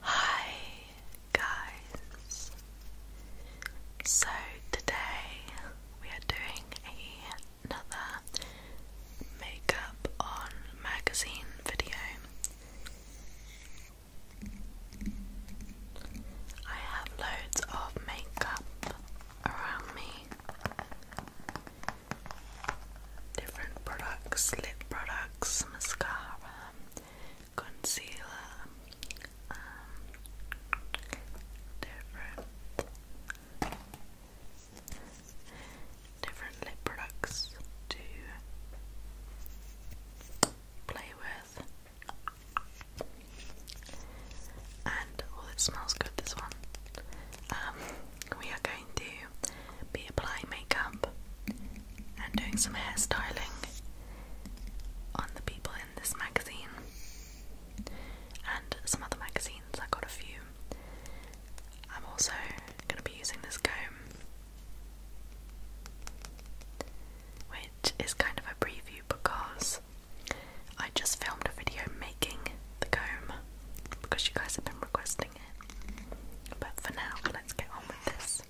Hi guys. So today we are doing another makeup on magazine video. I have loads of makeup around me. Different products, lip products, mascara, concealer um, different different lip products to play with and well it smells good this one um, we are going to be applying makeup and doing some hairstyling on the people in this magazine and some other magazines. I got a few. I'm also going to be using this comb, which is kind of a preview because I just filmed a video making the comb because you guys have been requesting it. But for now, let's get on with this.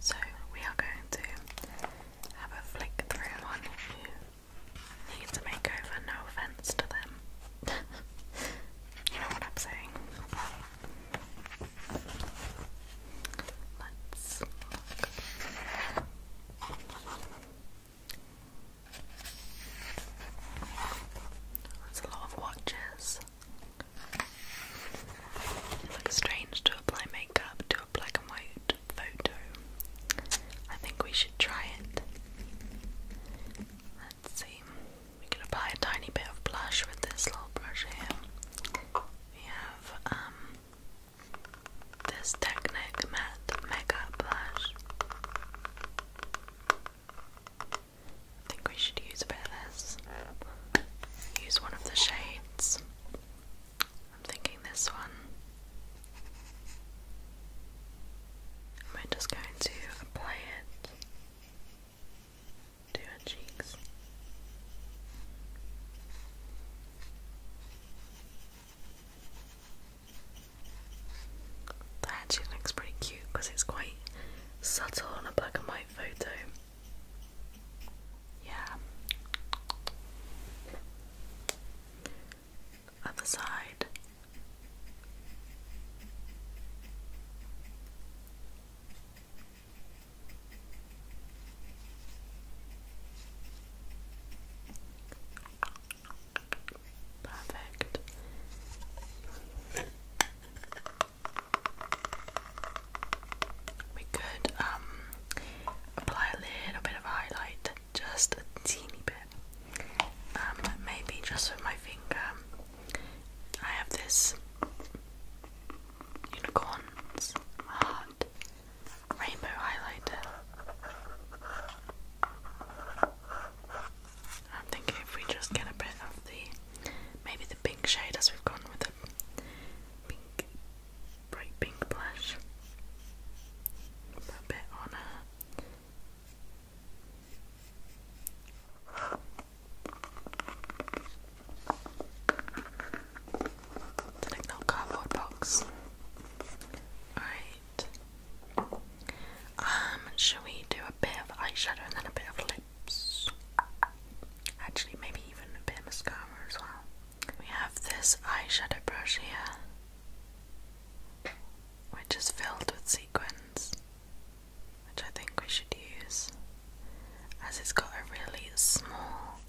So we are going to have a flick through on who needs a makeover, no offence to them. you know what I'm saying. Let's look. That's a lot of watches. It looks strange to apply makeup to a black and white photo. I think we should try it. Let's see. We can apply a tiny bit of blush with this little brush here. We have um this Technic Matte Mega Blush. I think we should use a bit of this. Use one of the shades. I'm thinking this one. And we just going to apply it to her cheeks. That actually looks pretty cute because it's quite subtle on a black and white photo. Yeah. Other side. Perfect. We could um, apply a little bit of highlight, just a teeny bit. Um, maybe just with my finger. I have this unicorn's heart rainbow highlighter. I'm if we just get a bit of the maybe the pink shade as we've gone with the pink bright pink blush. a bit on her. It's an cardboard box. Alright. Um, shall we do a bit of eyeshadow and then a bit of lips? Actually, maybe even a bit of mascara as well. We have this eyeshadow brush here, which is filled with sequins, which I think we should use, as it's got a really small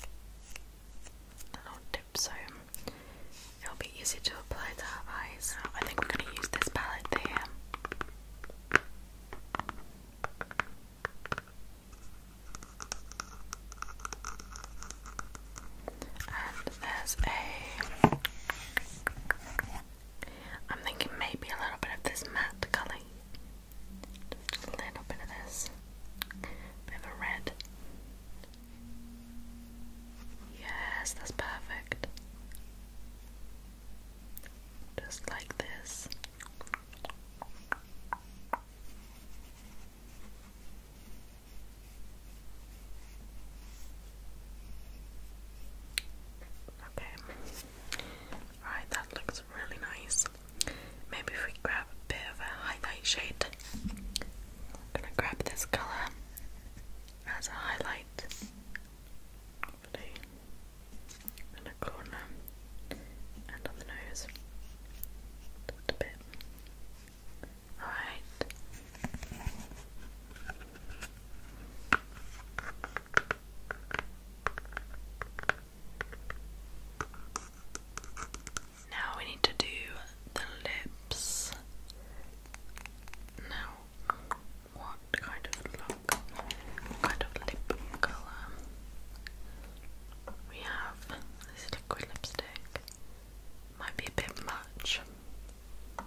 little dip, so it'll be easy to apply to her eyes. I think we're going to use this palette there. And there's a. I'm thinking maybe a little bit of this matte colour. Just a little bit of this. Bit of red. Yes, that's perfect just like this. Okay, alright, that looks really nice. Maybe we grab a bit of a highlight shade, I'm gonna grab this color as a highlight properly in a corner and on the nose. Just a bit. Alright. Now we need to do the lips. Now, what kind of look, what kind of lip colour. We have this liquid lipstick. Might be a bit much. Um,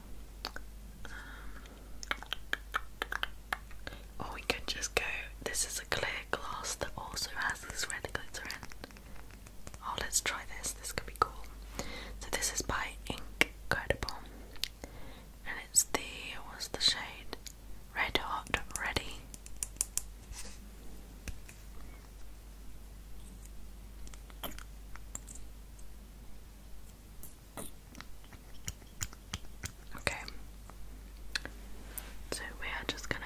or we could just go. This is a clear glass that also has this red glitter in. Oh, let's try this. This could be cool. So this is by Ink Credible, it was the shade Red Hot Ready. Okay, so we are just gonna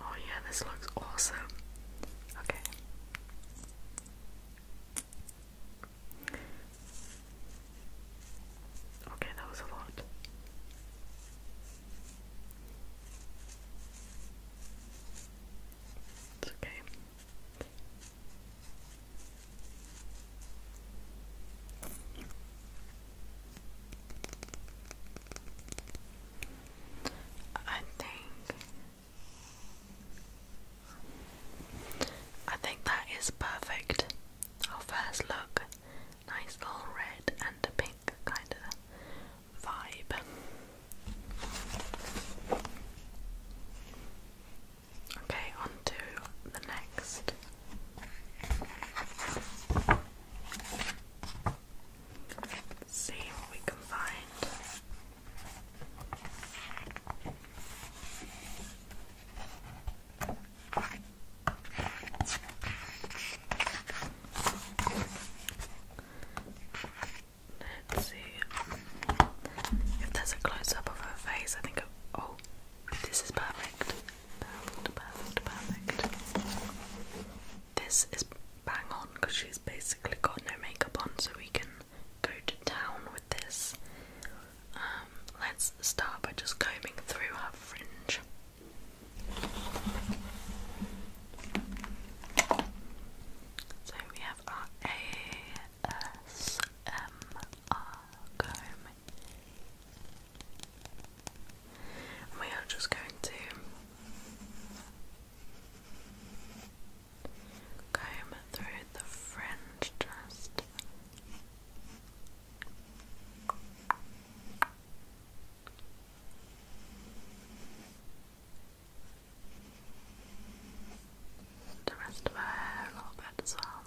Oh, yeah, this looks awesome. Okay. Okay, that was a lot. It's okay. I think I think that is perfect. Our first look, nice little red and a pink kind of vibe. Okay, on to the next see what we can find. Let's see if there's a close up of her face. I think, oh, this is perfect. Perfect, perfect, perfect. This is bang on because she's basically got no makeup on, so we can go to town with this. Um, let's start by just combing through her fringe. So we have our ASMR comb we are just going to comb through the fringe just. The rest of her hair a little bit as well.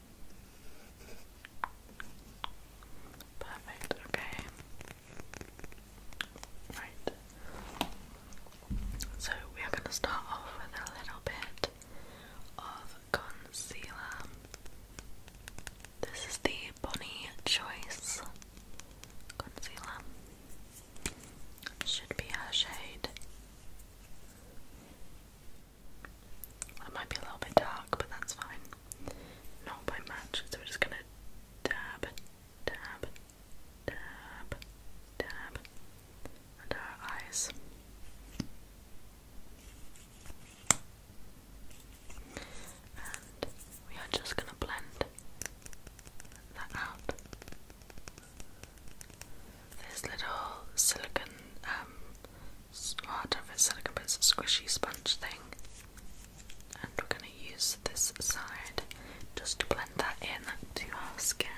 Perfect, okay. Right. So we are going to start off with a little bit of concealer. This is the Bonnie Choice concealer. Should be her shade that might be a little bit dark, but that's fine. Not by much, so we're just gonna dab, dab, dab, dab under our eyes. And we are just gonna blend that out. This little silicon, um, of a silicon but squishy sponge thing. And we're going to use this side just to blend that in to our skin.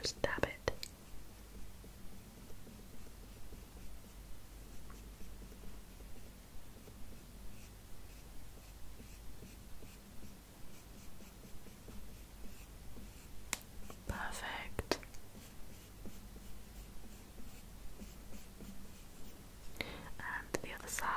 Just dab it. Perfect. And the other side.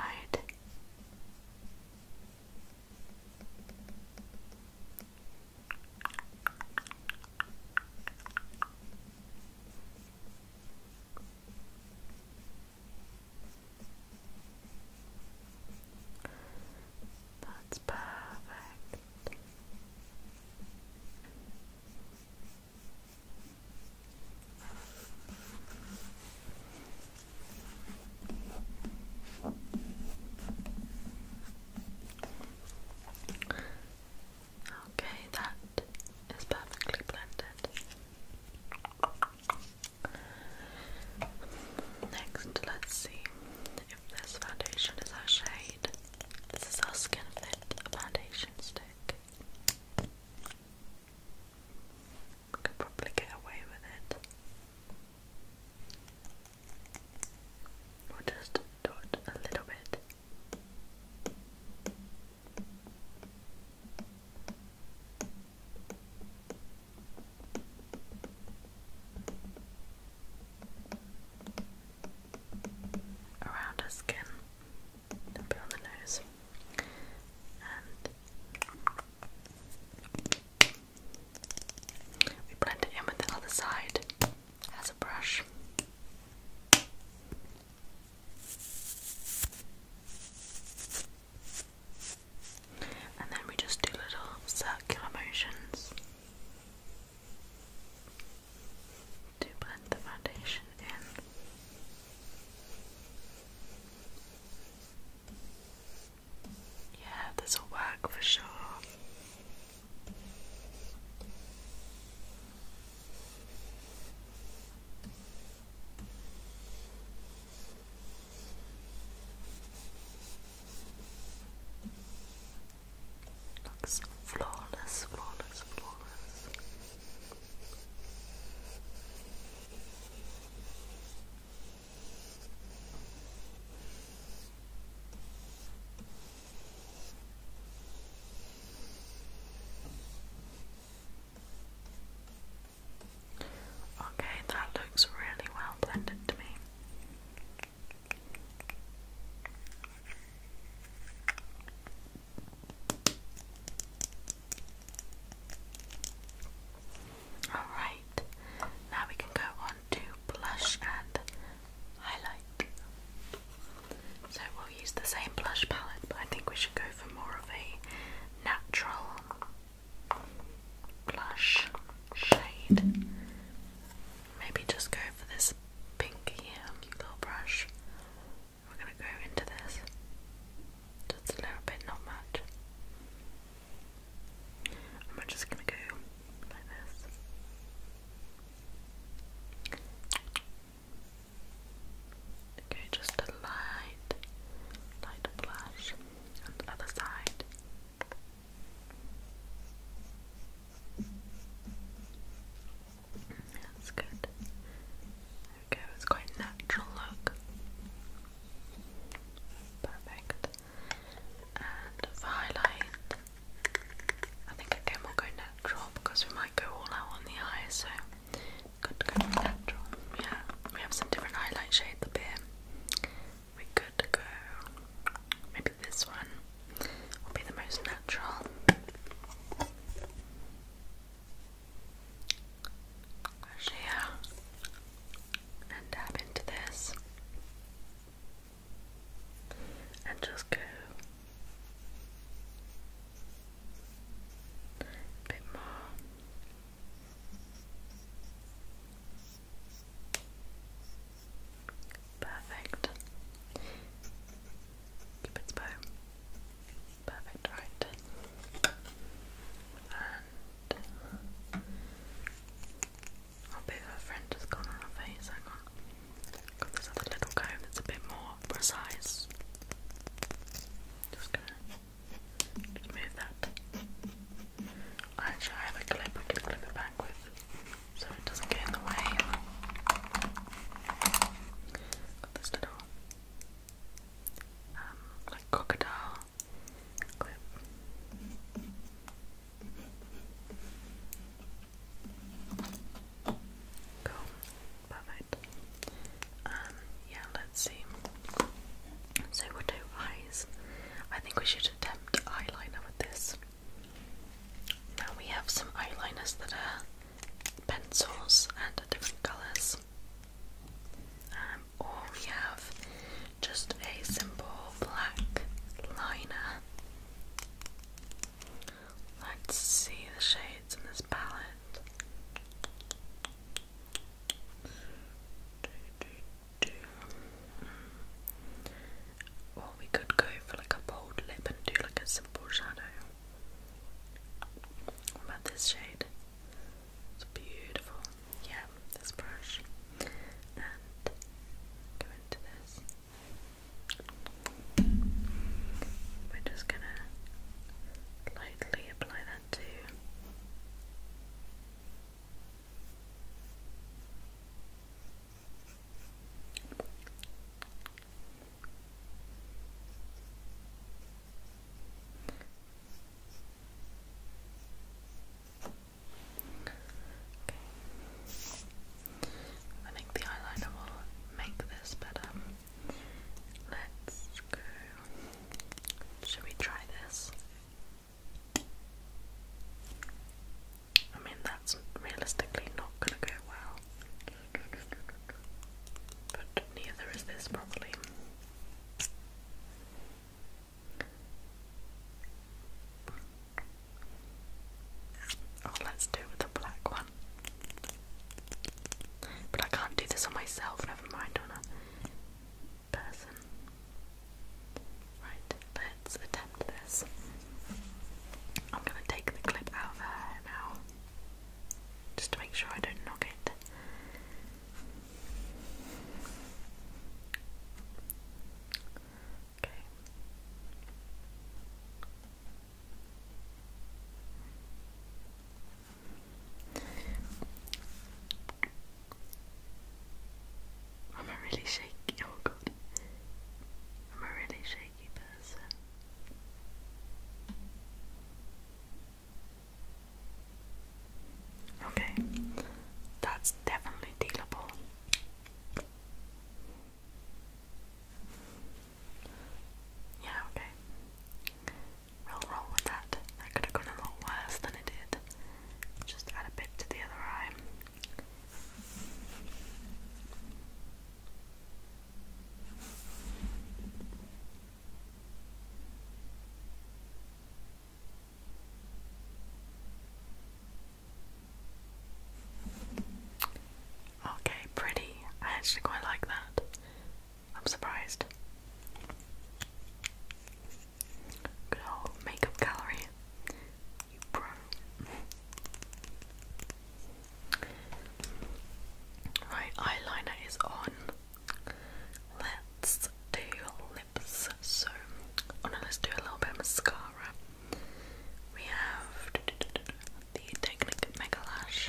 That's perfect. Okay, that is perfectly blended. Next, let's see if this foundation is our shade. This is our Skin Fit foundation stick. could probably get away with it. We'll just dot a little bit around her skin, a bit on the nose, and we blend it in with the other side as a brush and then we just do little circular motions to blend the foundation in. Yeah, this will work for sure. Looks flawless, flawless, flawless. Okay, that looks really well blended to me. Alright, now we can go on to blush and highlight. So we'll use the same blush palette, but I think we should go for more of a natural blush shade. Maybe just go for this pink um, little brush. We're gonna go into this. Just a little bit, not much. And we're just gonna go like this. Okay, just a light, light blush on the other side. That's good. There it's quite natural look. Perfect. And for highlight, I think again we'll go natural because we might go all out on the eye, so good to go natural. Yeah, we have some different highlight shades up here we could go. Maybe this one will be the most natural. Brush and dab into this, and just go a bit more. Perfect. Cupid's bow. Perfect, right. And I'll be her friend just gone on her face, hang on. Got this other little comb that's a bit more precise. Just gonna Move that. Actually, I have a clip I can clip it back with so it doesn't get in the way. Got this um, like crocodile clip. Cool. Perfect. Um, yeah, let's see. So we'll eyes. I think we should attempt eyeliner with this. Now we have some eyeliners that are pencils and different colours. Um, or we have just a simple black liner. Let's see the shades in this palette. Or we could go for like a bold lip and do like a simple shadow. What about this shade? It's beautiful. Yeah, this brush. And go into this. We're just gonna lightly apply that to I think the eyeliner will make this better. Let's go. Should we try this? I mean, that's realistically not gonna go well. But neither is this, probably. Oh, let's do it with the black one. But I can't do this on myself, never mind, on person. Right, let's attempt this. I'm going to take the clip out of her now, just to make sure I don't knock it. Okay. I'm a really shaky, oh god, I'm a really shaky person. Okay, that's definitely dealable. Yeah, okay. we roll with that. That could have gone a lot worse than it did. Just add a bit to the other eye. Okay, pretty. I actually quite like that. I'm surprised. Good old makeup gallery. You bro. Right, eyeliner is on. Let's do lips. So, oh no, let's do a little bit of mascara. We have the Technic Mega Lash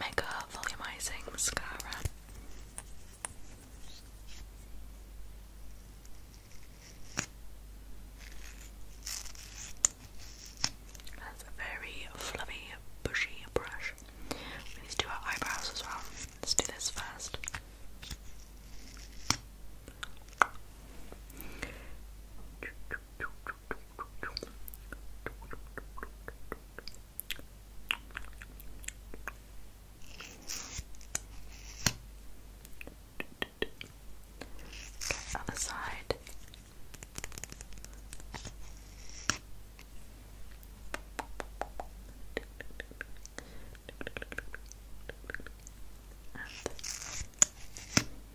Mega Volumizing Mascara. That's a very fluffy, bushy brush. We need do our eyebrows as well. Let's do this first. Other side.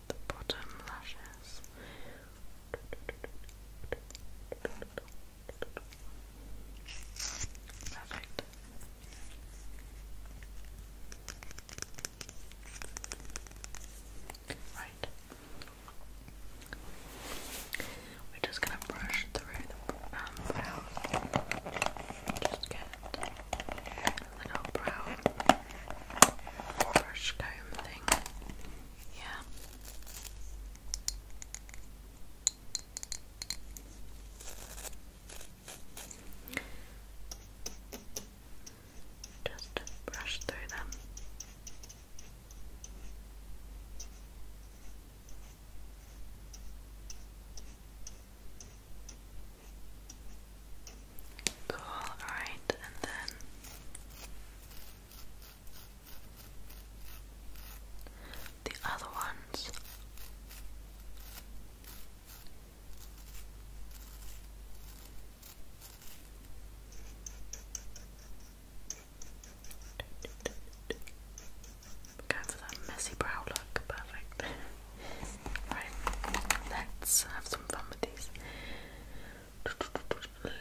the bottom lashes. Perfect. Right. We're just gonna brush through the um, brow. Just get little brow brush comb thing. Yeah. Just brush through them. Cool, alright, and then the other ones Go for that messy brow look, perfect. right, let's have some fun with these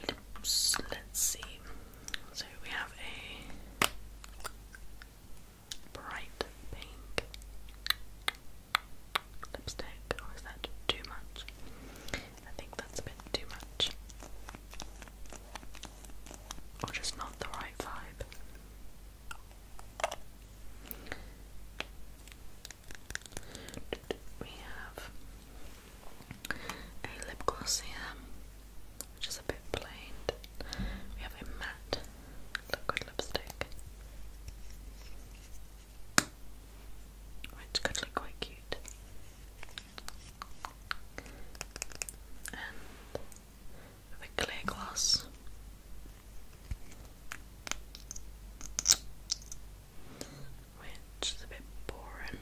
lips. Let's see. So we have a bright pink lipstick, is that too much? I think that's a bit too much. Or just not the right vibe. We have a lip gloss here which is a bit plain. We have a matte liquid lipstick, which could look quite cute. And a clear gloss. Which is a bit boring.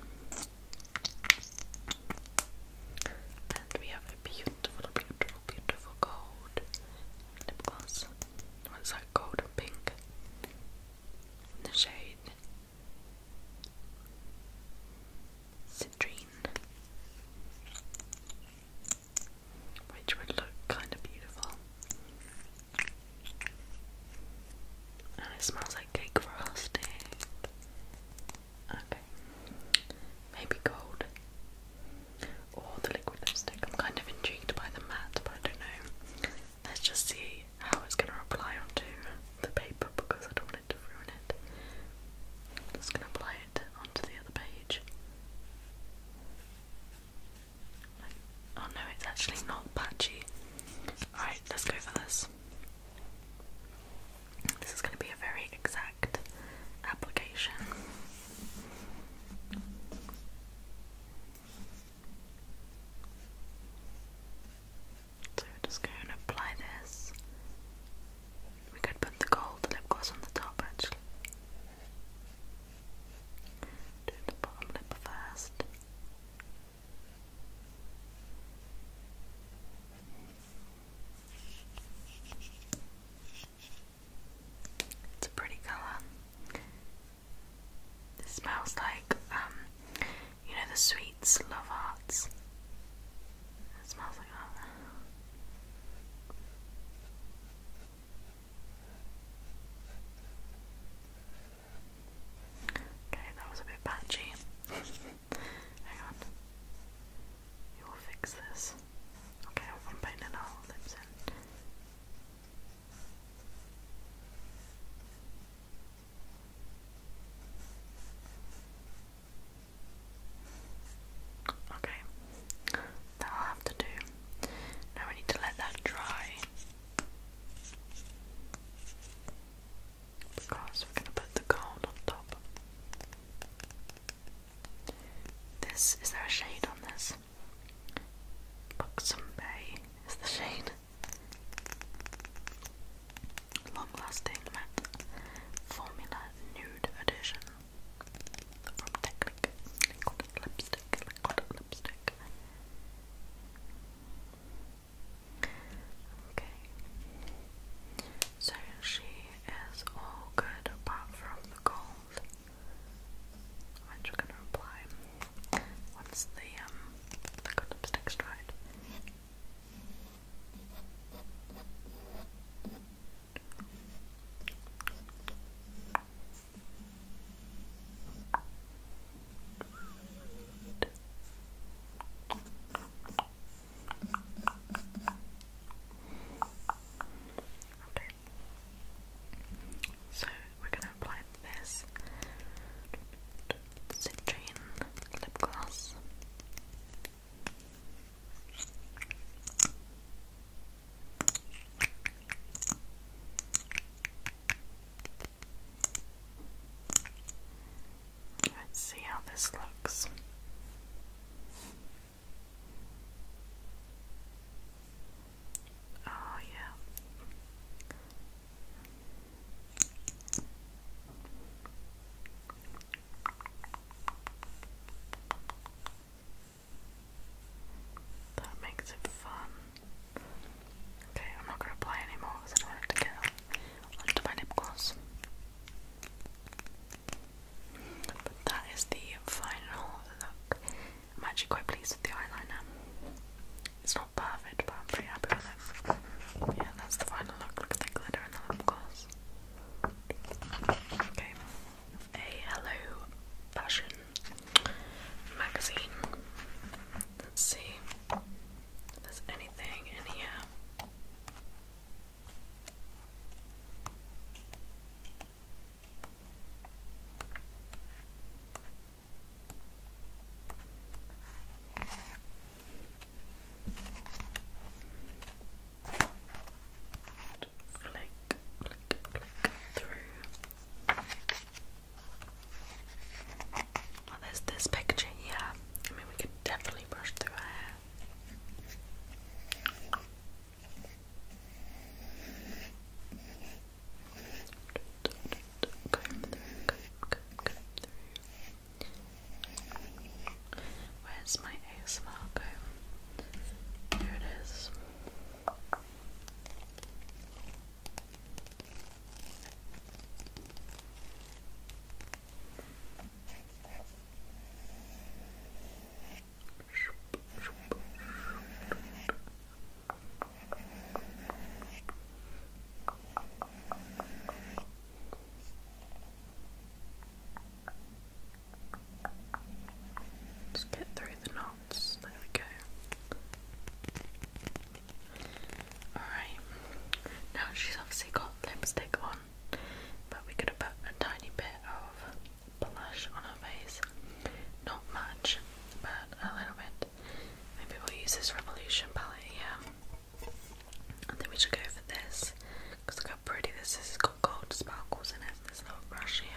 And we have a beautiful, beautiful, beautiful gold lip gloss. What's that gold and pink? In the shade Citrine. Which would look kind of beautiful. And it smells like cake frosting. Okay. Maybe gold. Or the liquid lipstick. I'm kind of intrigued by the matte, but I don't know. Let's just see how it's gonna apply onto the paper because I don't want it to ruin it. just gonna apply it onto the other page. Oh no, it's actually not patchy. Alright, let's go for this. This is going to be a very exact application. So just going to apply this. We could put the gold lip gloss on the top actually. Do the bottom lip first. It's a pretty colour. This smells like, um, you know, the sweets, love hearts. It smells like that. Okay, that was a bit patchy. Hang on. You will fix this. Okay, I'm putting in all lips in. Okay, that'll have to do. Now we need to let that dry because we're going to put the gold on top. This is there a shade on this? Buxom Bay is the shade. Long lasting matte formula nude edition from Technic. lipstick, lipstick. Okay. So she is all good apart from the cold, which we're gonna apply once the um, the lipstick's dried. Okay. So we're gonna apply this citrine lip gloss. Let's see how this looks. Oh, yeah. That makes it fun. Okay, I'm not going to apply anymore because I don't want it to get onto my lip gloss. But that is the final look. I'm actually quite pleased with the eyeliner. It's not perfect, but I'm pretty happy with it. Yeah, that's the final look. Look at the glitter and the lip gloss. Okay, a Hello Passion magazine. Let's see if anything in here. Flick, flick, flick through. Well, oh, there's this picture here. I mean, we could definitely brush through our hair. Where's my ASMR comb? Here it is let get through the knots. There we go. Alright. Now she's obviously got lipstick on but we could have put a tiny bit of blush on her face. Not much, but a little bit. Maybe we'll use this Revolution palette here. I think we should go for this because look how pretty this is. It's got gold sparkles in it. This little brush here.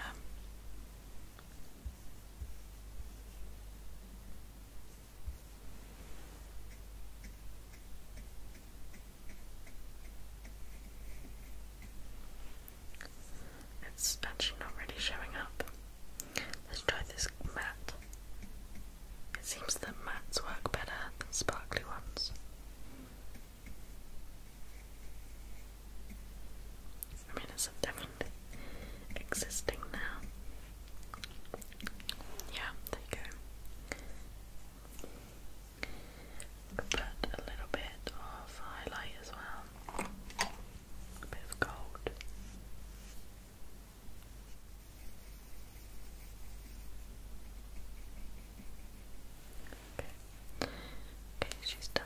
It's actually already showing up. Let's try this matte. It seems that mattes work better than sparkly ones. I mean, it's definitely existing now. Yeah, there you go put a little bit of highlight as well, bit of gold. Okay, she's done.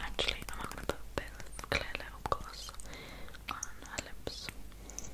Actually, I'm going to put a bit of clear lip gloss on her lips.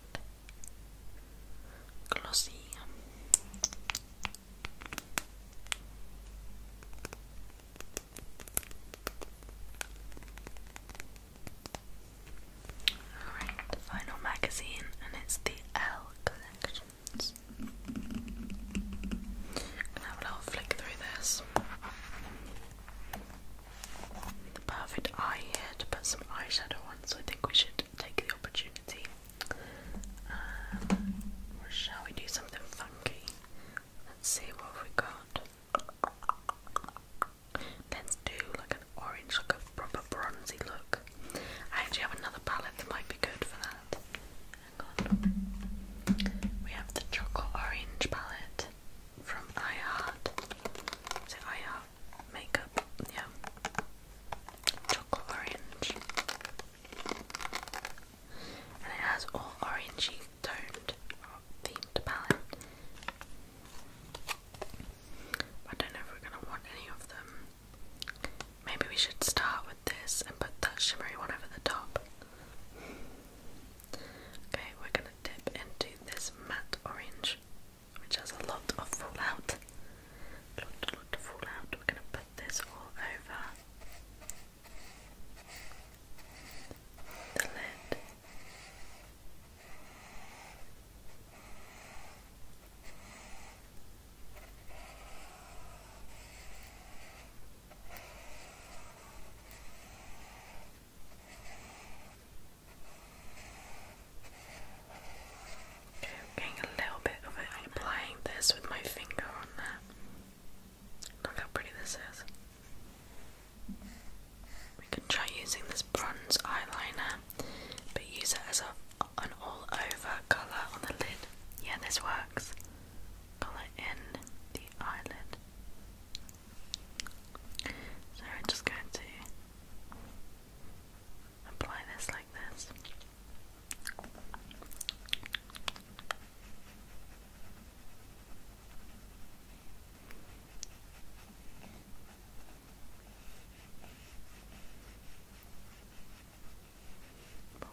like Alright, the final magazine, and it's the L Collections. gonna have a little flick through this the perfect eye here to put some eyeshadow on, so I think we should take the opportunity. Um, shall we do something funky? Let's see what we got. Let's do like an orange, like a proper bronzy look. I actually have another palette that might be good for that. We have the chocolate orange palette from iHeart. Is it iHeart? makeup, yeah. Chocolate orange. And it has all orangey toned themed palette. I don't know if we're gonna want any of them. Maybe we should start with this and put that shimmery one over the top. Okay, we're gonna dip into this matte orange which has a lot of fallout. A lot, a lot of fallout. We're going to put this all over the lid. Okay, I'm getting a little bit of it. applying this with my finger on there. Look how pretty this is. We can try using this bronze eyeliner, but use it as a, an all over colour on the lid. Yeah, this works. Colour in the eyelid. So we're just going to apply this like this.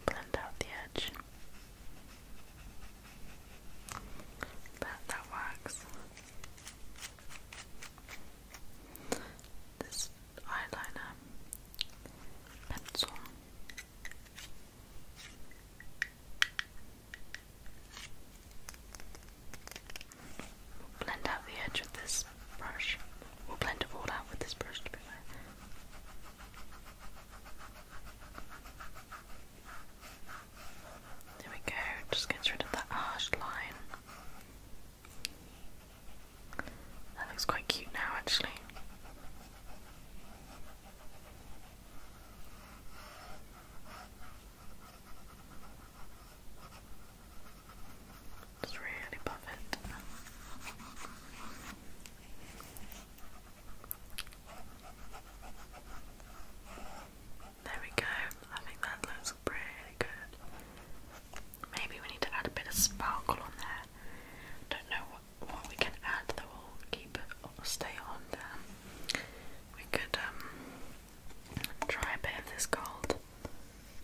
blend out the edge. But that works this eyeliner pencil. blend out the edge with this brush. We'll blend it all out with this brush There we go, just gets rid of that harsh line. That looks quite cute now, actually. It's really buff it. There we go. I think that looks Maybe we need to add a bit of sparkle on there. Don't know what, what we can add that will keep or stay on We could um, try a bit of this gold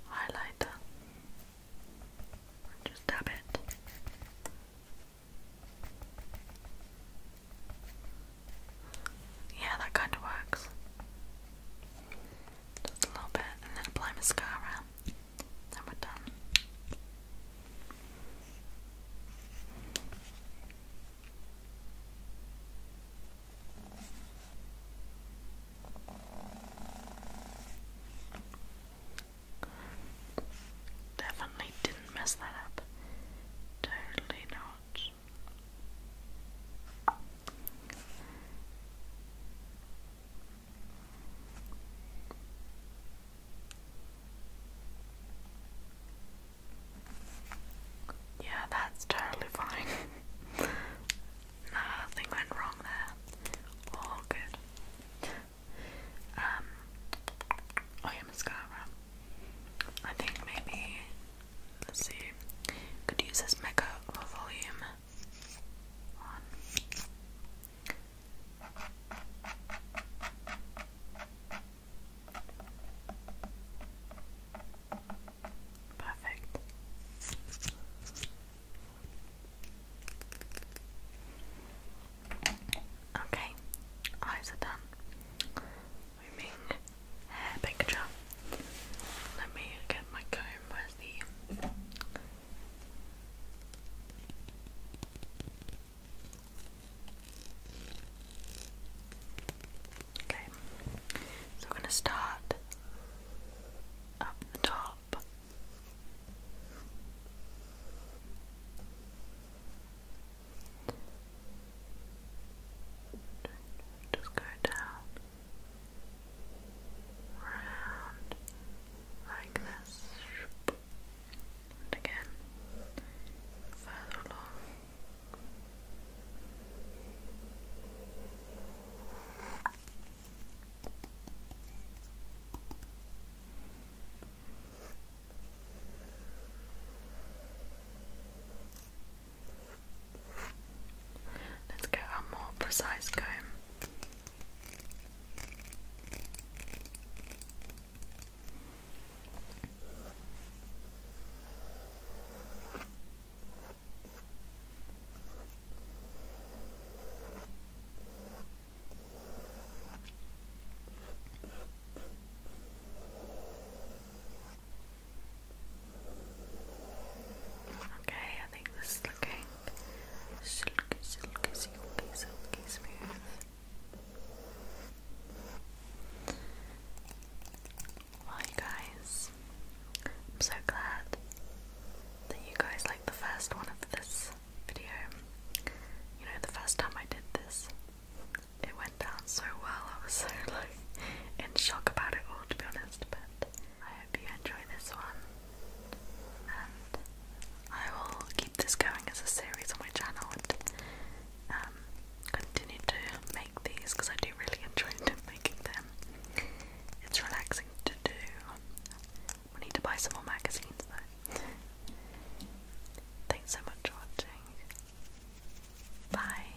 highlighter. Just dab it. Yeah, that kind of works just a little bit, and then apply mascara. Then we're done. Definitely didn't mess that up. Totally not. Yeah, that's totally fine. Nothing went wrong there. All good. Um, oh yeah, mascara. I think maybe Let's see. Could use this mecha for volume. One. Perfect. Okay, eyes are done. Moving hair picture. Let me get my comb. Where's the Okay, so we're going to start up the top. Just go down round like this, and again further along. Let's get a more precise comb. Okay, I think this is looking silky, silky, silky, silky smooth. Well, you guys, I'm so glad that you guys liked the first one of this video. You know, the first time I did this, it went down so well. I was so like in shock about it all, to be honest. But hope you enjoy this one. And I will keep this going as a series on my channel and um, continue to make these because I do really enjoy making them. It's relaxing to do. We need to buy some more magazines Thanks so much for watching. Bye.